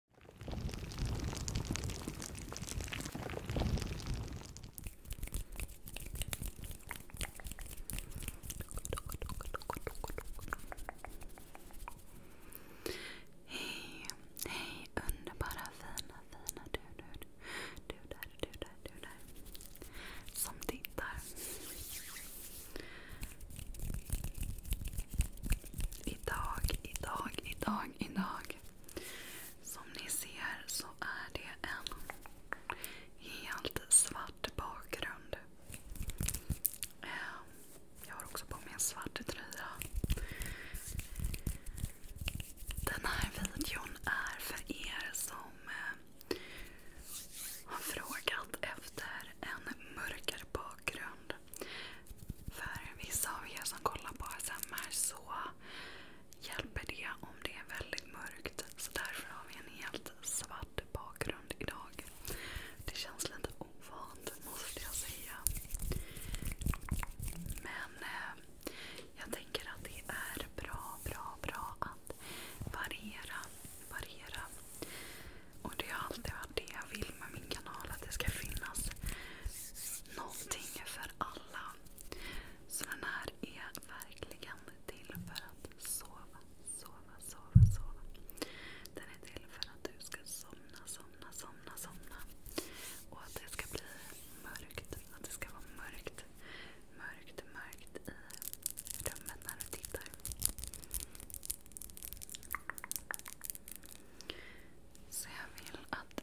Hej, hej underbara fina, fina du, du, du där, du där, du där. Som tittar. Idag, idag, idag, idag. Som ni ser så är det en helt svart bakgrund. Ehm, jag har också på mig en svart tröja. Den här videon är för er som eh, har frågat efter en mörkare bakgrund bakgrund. För vissa av er som kollar på ASMR så hjälper det om det är väldigt mörkt. Så därför har vi en helt svart bakgrund idag. Det känns lite ovant måste jag säga. Men eh, jag tänker att det är bra, bra, bra att variera. variera. Och det har alltid varit det jag vill med min kanal. Att det ska finnas någonting för alla. Så den här är verkligen till för att sova, sova, sova, sova. Den är till för att du ska somna, somna, somna, somna. Och att det ska bli mörkt. Att det ska vara mörkt, mörkt, mörkt i rummet när du tittar. Så jag vill att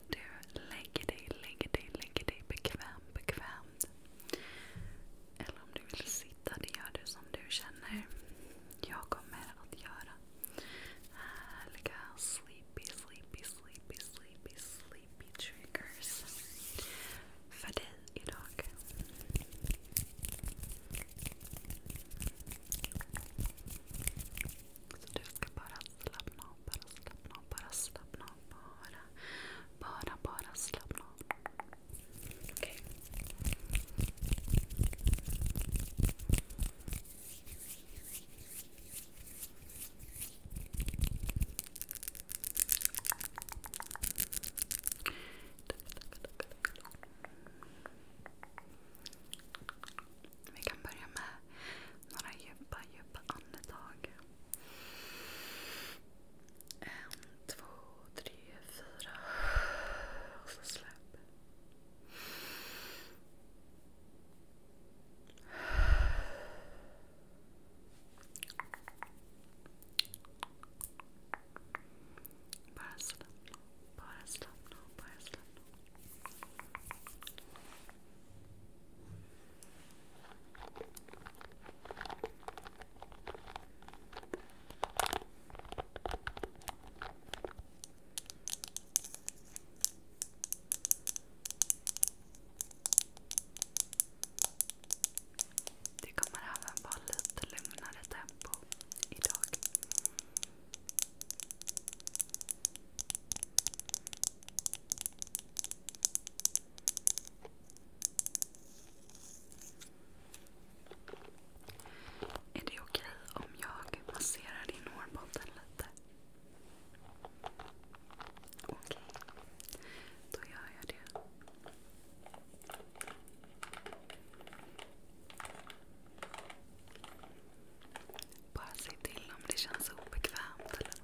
du lägger dig, lägger dig, lägger dig bekvämt, bekvämt. Eller om du vill sitta, det gör du som du känner. Jag kommer att göra härliga sleepy, sleepy, sleepy, sleepy, sleepy triggers för dig idag. Så du ska bara slappna av, bara slappna av, bara Bara, slappna av. Okej, vi kan börja med några djupa, djupa andetag. En, två, tre, fyra. Och så släpp. Bara slappna, bara slappna, bara slappna. Det kommer även vara lite lugnare tempo idag. Är det okej om jag masserar din hårbotten lite? Okej, okay. då gör jag det. Bara säg till om det känns obekvämt eller något.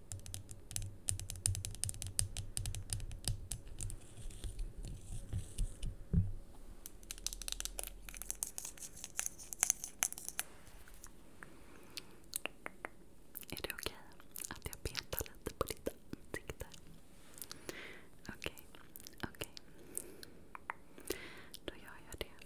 Är det okej okay att jag petar lite på ditt ansikte? Okej, okay. okej. Okay. Då gör jag det.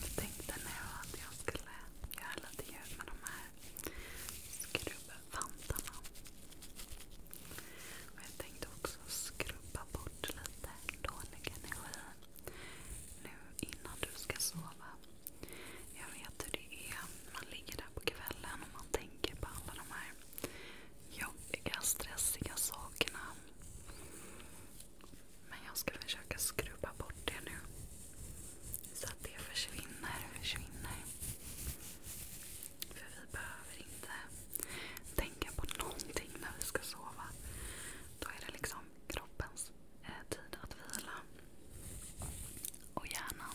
Jag tänkte nu att jag skulle göra lite ljud med de här skrubbvantarna. jag tänkte också skrubba bort lite dålig energi nu innan du ska sova. Jag vet hur det är. Man ligger där på kvällen och man tänker på alla de här jobbiga, stressiga sakerna. Men jag ska försöka skrubba bort det nu. Så att det försvinner, försvinner. För vi behöver inte tänka på någonting när vi ska sova. Då är det liksom kroppens eh, tid att vila. Och hjärnan.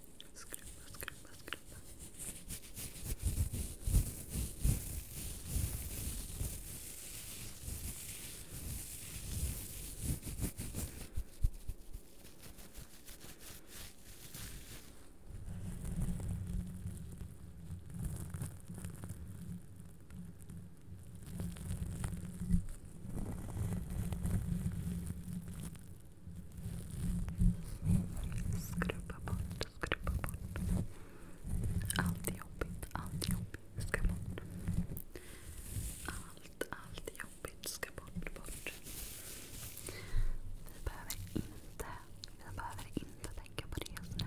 Skrubba, skrubba, skrubba. Skrubba, skrubba, skrubba. Skrubba bort, skrubba bort. Allt jobbigt, allt jobbigt ska bort. Allt, allt jobbigt ska bort, bort. Vi behöver inte, vi behöver inte tänka på det just nu.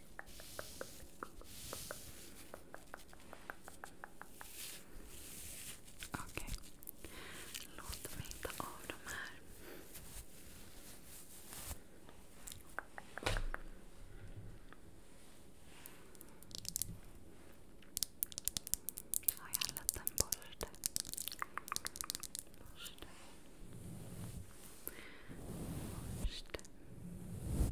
Okej. Okay. Låt mig ta av de här. Har jag en liten borste? Borste. Borste.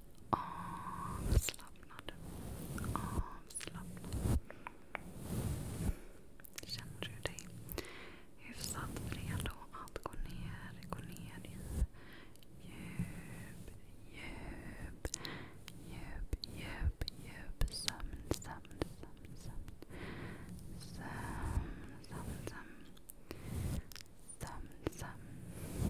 Avslappnad. Avslappnad. Känner du dig hyfsat redo att gå ner, djup, djup, djup, djup, sömn. Sömn, sömn, sömn. Sömn, sömn.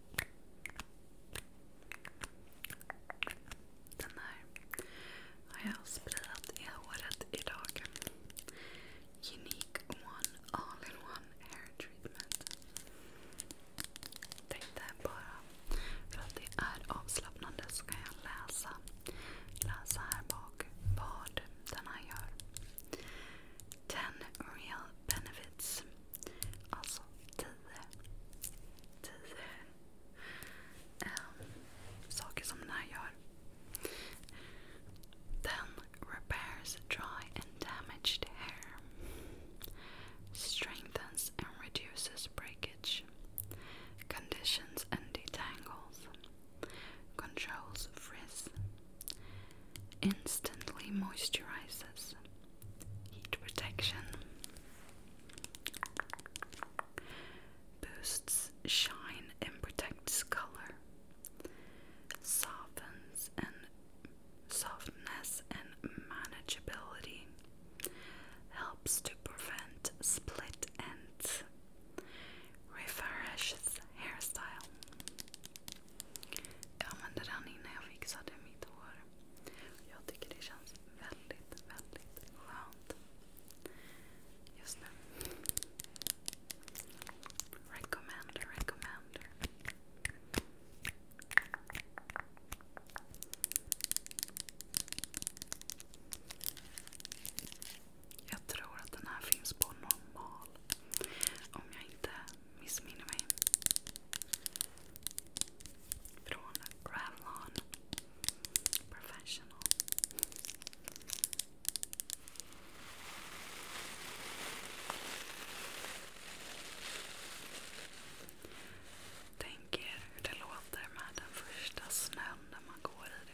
Den här har jag sprayat i håret idag. Unique One All-in-One Hair Treatment. Tänkte bara, för att det är avslappnande så kan jag läsa, här bak vad den här gör. 10 real benefits. Alltså, tio um, saker som den här Then repairs dry and damaged hair. Strengthens and reduces breakage. Conditions and detangles. Controls frizz. Instantly moisturizes heat protection, boosts shine and protects color, softens and softness and manageability, helps to prevent split ends, refreshes hairstyle. Jag använder den innan jag fixade mitt hår. Jag tycker det känns väldigt, väldigt skönt just nu. Recommender, recommender. Jag tror att den här finns på normal missminner mig. Från Revlon Professional. Tänk er hur det låter med den första snön när man går i det.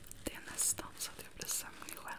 Det är nästan så att jag blir sömnig själv.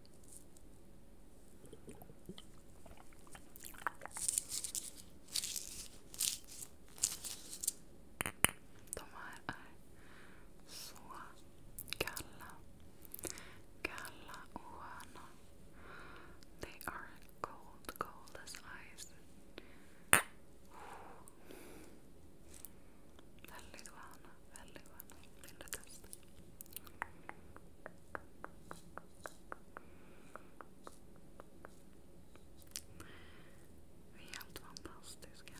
De här är så kalla. Kalla och sköna. They are cold, cold as ice. Väldigt sköna, väldigt sköna. Vill du testa? Vi är helt fantastiska.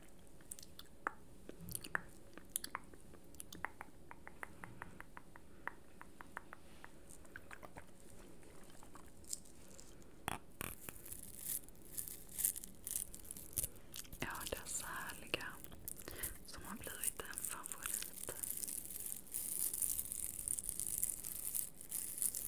Ja, dessa härliga som har blivit en favorit.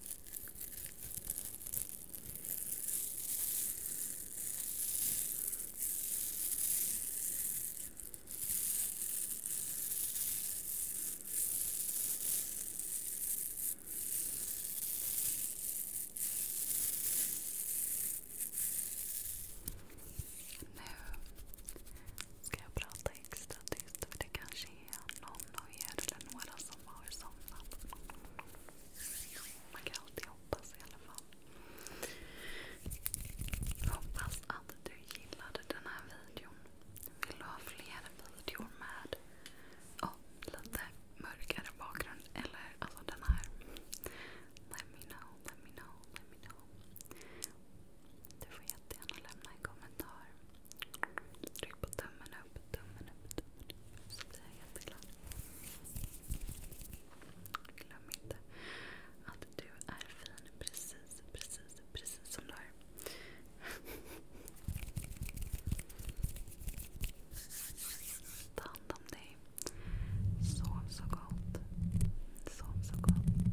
Nu ska jag prata extra tyst för det kanske någon av er eller några som har somnat. Man kan alltid hoppas i alla fall. Hoppas att du gillade den här videon. Vill du ha fler videor med oh, lite mörkare bakgrund? Eller alltså den här. Let me know, let me know, let me know. Du får jättegärna lämna en kommentar. Tryck på tummen upp, tummen upp, tummen upp. Så blir jag jätteglad. Glöm inte att du är fin precis, precis, precis som du är. Ta hand om dig. Sov så gott. Sov så gott.